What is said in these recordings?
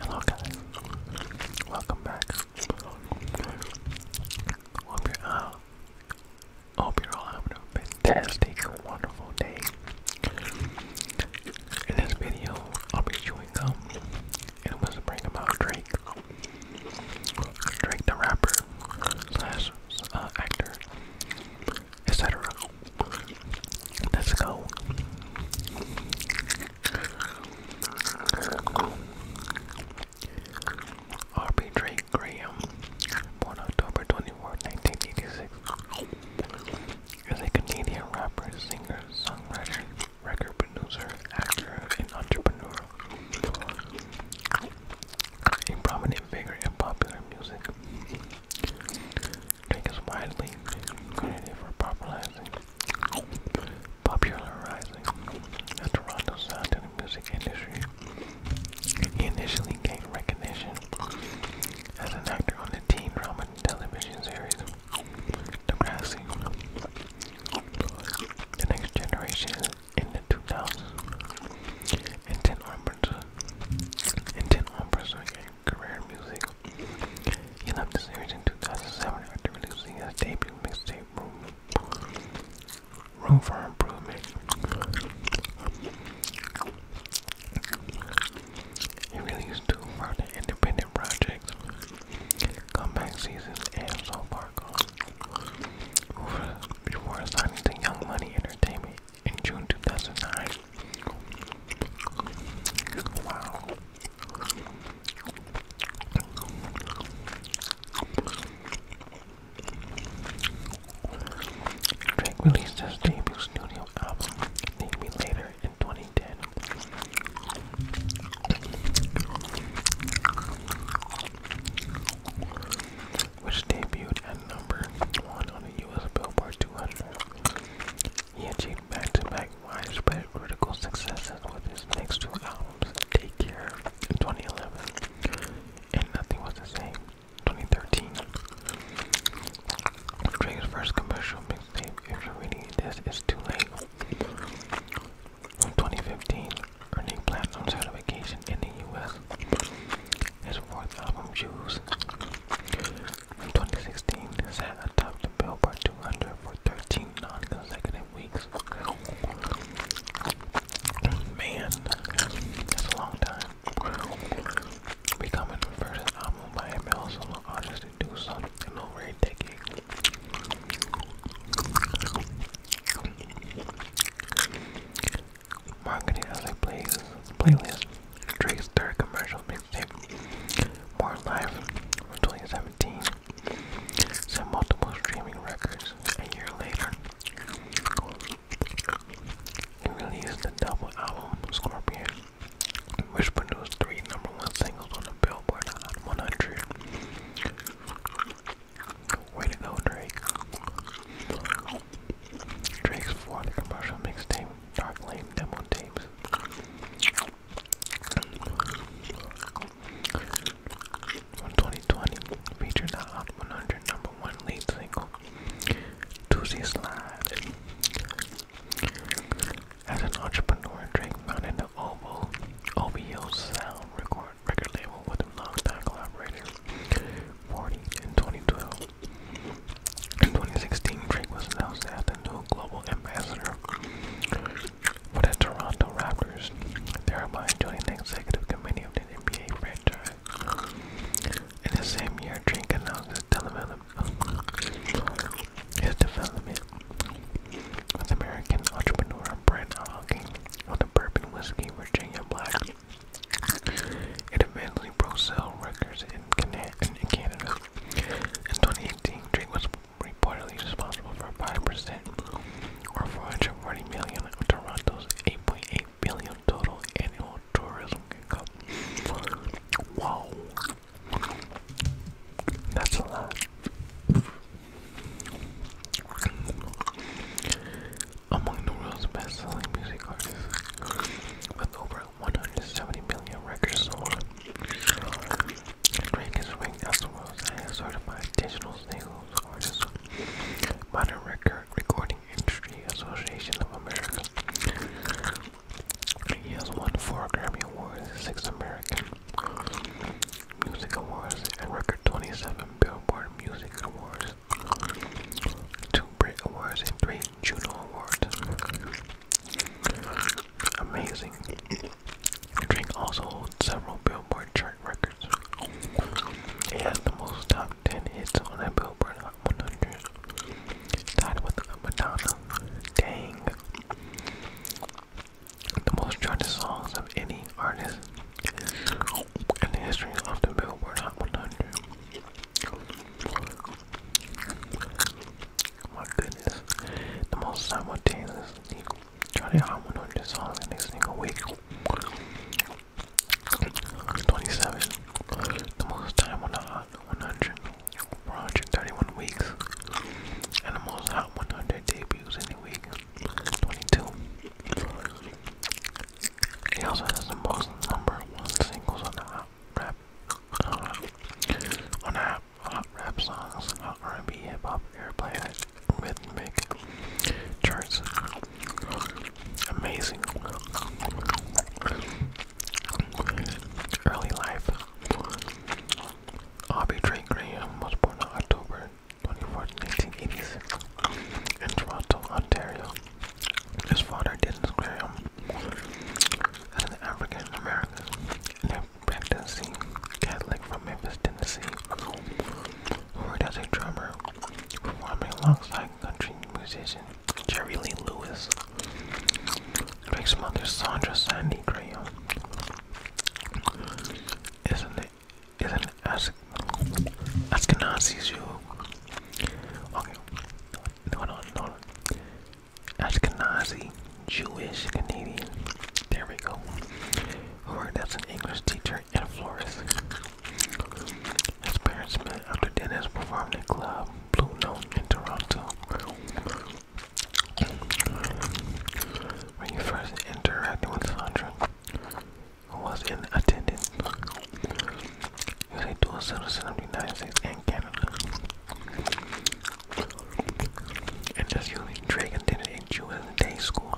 Hello guys, welcome back. Hope you're, uh, hope you're all having a fantastic, wonderful day. In this video, I'll be chewing gum and whispering about Drake. Drake the rapper slash uh, actor etc. Let's go. R.B. Drake Graham, born October 24, 1986, is a Canadian rapper, singer, songwriter, record producer, actor, and entrepreneur. A prominent figure in popular music. Drink is widely credited for popularizing, popularizing the Toronto sound in the music industry. He initially gained recognition as an actor on the teen drama television series The Next Generation, in the 2000s, and 10 Ombres, and 10 Ombres career in music. He left the series in 2007 after releasing his debut mixtape, Room, for Improvement. He released two further independent projects, Comeback Season and So Far before signing to Young Money Entertainment in June 2009. Drake released his debut studio album, Need Me Later, in 2010. Which debuted at number one on the US Billboard 200. He achieved back-to-back widespread critical success with his next two albums, Take Care in 2011 and Nothing Was the Same 2013. Drake's first commercial mixtape, If You're Reading This, It's Too Late, 2015, earning platinum certification in the U.S. His fourth album, Shoes, 2016 sat atop the Billboard 200 for 13 non-consecutive weeks. Man, that's a long time. Becoming the first album by a male solo artist to do so in over a decade marketing as a playlist. Drake's third commercial mixtape, More Life, from 2017, set multiple streaming records. A year later, he released the double album Scorpion, which produced three number one singles on the Billboard Hot 100. Way to go, Drake! Drake's fourth Commercial Mixtape, Dark Lane Demo Tapes. From 2020, featured the Hot 100 number one lead single, Doozy Slide. As an entrepreneur, Drake founded the OVO, OVO Sound record, label with a longtime collaborator, 40 in 2012. In 2016, Drink was announced as the new global ambassador for the Toronto Raptors, thereby joining the executive committee of the NBA franchise. In the same year, Drink announced the development, of development American entrepreneur Brent Hawking on the bourbon whiskey Virginia Black. It eventually broke sale records in, Canada. In 2018, Drake was reportedly responsible for 5% or 440 million of Toronto's 8.8 billion total annual tourism income. Wow. That's a lot. Among the world's best selling music artists, with over 170 million records sold. Drake is ranked as the world's highest certified digital singles artist by Record Recording Industry Association of America. He has won four Grammy Awards, six American Music Awards, and record 27 Billboard Music Awards, two Brit Awards, and three Juno Awards. Amazing. Drink also holds several Billboard chart records. It has the most top 10 hits on a Billboard Hot 100, tied with Madonna. Dang. The most charted songs of any artist in the history of the Billboard Hot 100. My goodness. The most simultaneous nigga. Try to on this song the 27. The most time on the hot 100 for 131 weeks. And the most hot 100 debuts in a week. 22. He also has the most number one singles on the hot hot rap, on app, hot rap songs, uh, R&B, hip hop, airplay, rhythmic charts. Amazing. Early life. Aubrey Drake Graham was born on October 24, 1986, in Toronto, Ontario. His father, Dennis Graham, and an African American and a practicing Catholic from Memphis, Tennessee, worked as a drummer, performing alongside country musician Jerry Lee Lewis. Drake's mother, Sandra Sandy Graham, is an, is an As Ashkenazi Jew. Okay, hold on, hold Ashkenazi, Jewish, Canadian. There we go. Who worked as an English teacher and florist. His parents met after Dennis performed at Club Blue Note in Toronto. When you first interacted with Sandra, who was in attendance, he was dual citizen of the United States and Canada and just using Dragon Dinner in Jewish day school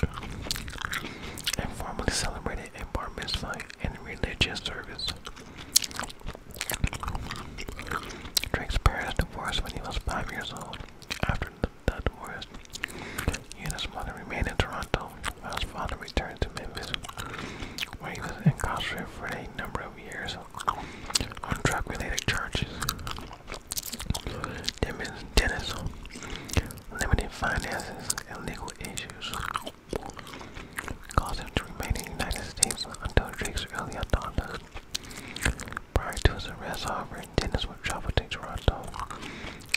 and formally celebrated a bar mitzvah and religious service. Drake's parents divorced when he was five years old. After the, the divorce, he and his mother remained in Toronto while his father returned to Memphis, where he was incarcerated for a great number of years on drug-related charges. Dennis, limited finances and legal issues caused to remain in United States until Drake's early adulthood. Prior to his arrest, however, Dennis would travel to Toronto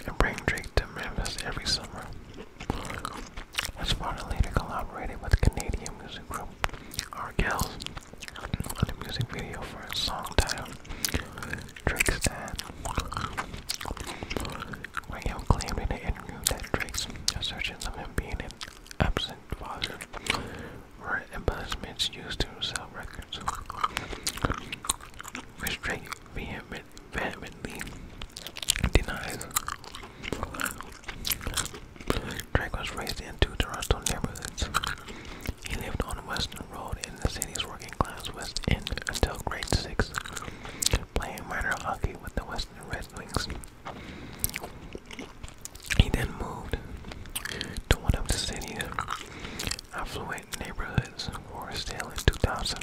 and bring Drake to Memphis every summer. Esparta later collaborated with Canadian music group Argyle on a music video for a song titled Drake'stad. Radio claimed in an interview that Drake's assertions of him being an absent father were embellishments used to sell records, which Drake vehemently denies. Drake was raised in two Toronto neighborhoods. He lived on Western Road in the city's working class West End until grade six, playing minor hockey with the Western Red Wings. He then moved to one of the city's affluent neighborhoods for sale in 2000.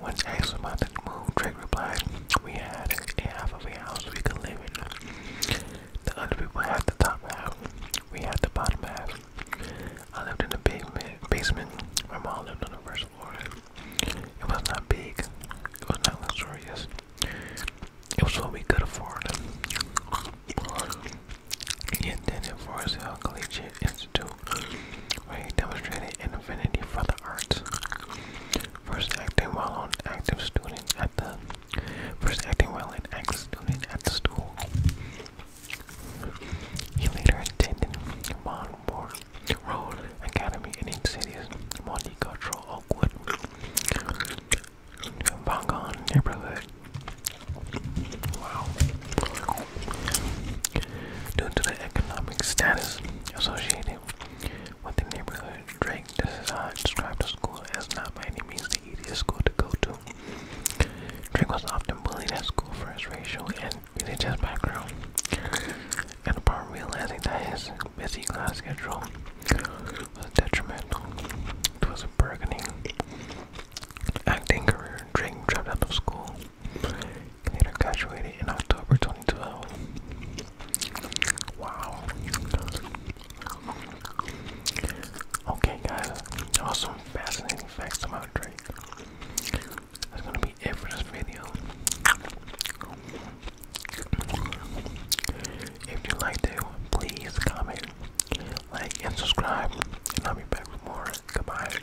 When asked about the move, Drake replied, We had half of a house we could live in. The other people had the top half. We had the bottom half. I lived in the basement. My mom lived on the first floor. It was not big. It was not luxurious. It was what we could afford. He attended Forest Hill Collegiate Institute, where he demonstrated an affinity for the arts. First acting while on active student at the first acting while an active student at the school. He later attended Monmore Road Academy in its cities Multicultural Oakwood, Vangon neighborhood. Wow. Due to the economic status associated Within the neighborhood, Drake described the school as not by any means the easiest school to go to. Drake was often bullied at school for his racial and religious background. And upon realizing that his busy class schedule was detrimental to his burgeoning acting career, Drake dropped out of school. He later graduated in October 2012. Wow. Okay, guys. Awesome, fascinating facts about Drake. That's gonna be it for this video. If you liked it, please comment, like, and subscribe. And I'll be back with more. Goodbye.